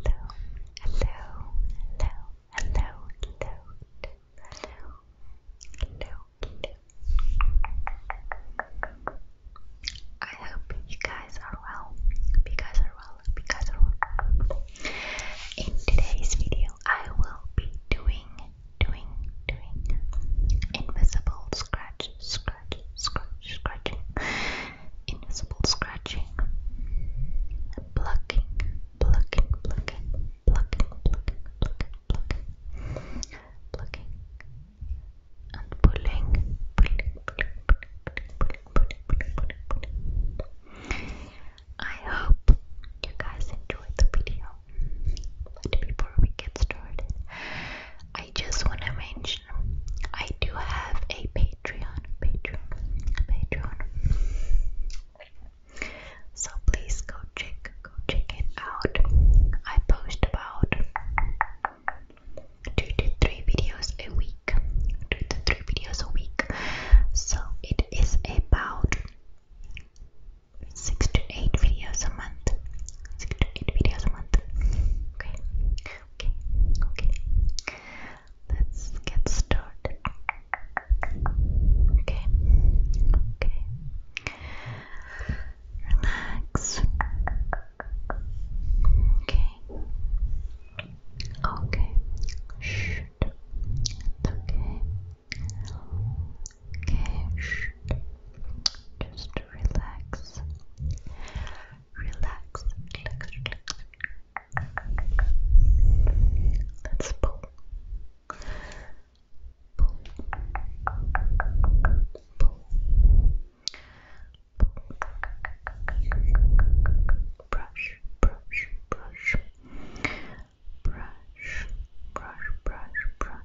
Hello, hello, hello, hello, hello, hello, hello, I hope you guys are well. you guys are well. you guys are well. In today's video, I will be doing, doing, doing invisible scratch, scratch, scratch, scratching invisible scratching, plucking, plucking, plucking, plucking, plucking, plucking, plucking, plucking, and pulling, pulling, pulling, pulling, pulling, pulling, pulling, pulling, I hope you guys enjoyed the video. But before we get started, I I just want to mention I do have a Patreon, Patreon, Patreon. So please go check, go check it out. I post about two to three videos a week, two to three videos a week. So it is about six to eight videos a month. Six to eight videos a month. Okay. Okay, okay. Let's get started. Okay, okay. Relax. Okay. Okay. Shh. okay. Okay. Shh just relax, relax, relax, relax. Let's pull, pull, pull, pull. brush, brush, brush. Brush, brush, brush, brush,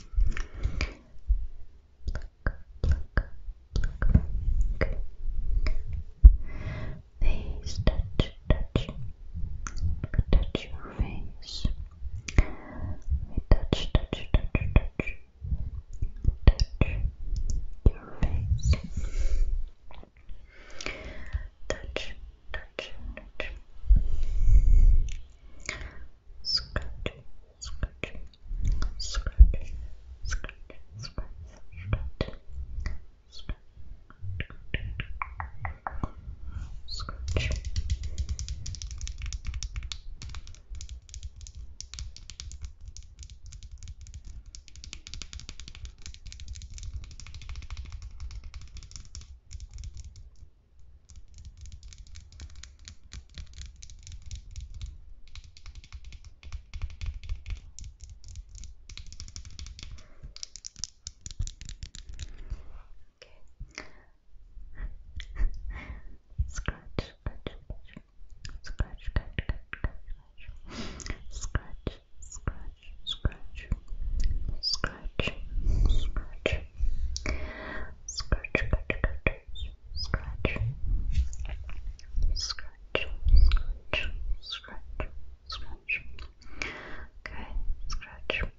Face, touch, touch, touch your face. We touch, touch, touch, touch, touch your face. Touch, touch, touch. Scratch, scratch, scratch, scratch, scratch, scratch. Scratch. Scratch. Okay. scratch, scratch, scratch, scratch, scratch, scratch, scratch, scratch, scratch, scratch, scratch, scratch, scratch, scratch, scratch, scratch, okay, scratch, scratch,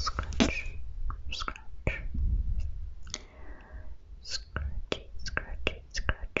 scratch, scratchy, scratchy, scratch.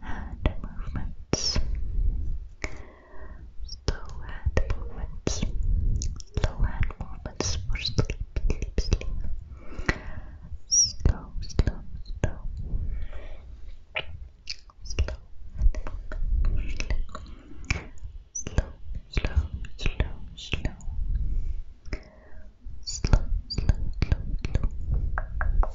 hand movements. Slow hand movements. Slow hand movements for sleep, sleep, sleep. Slow, slow, slow. Slow hand movement for sleep. Slow, slow, slow, slow. Slow, slow, slow, slow.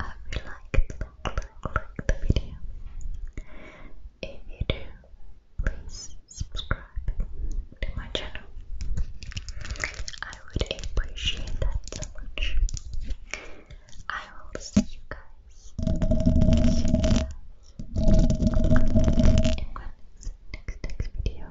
I hope you like, like, like the video. If you do, please subscribe to my channel. I would appreciate that so much. I will see you guys in my next, next, next video.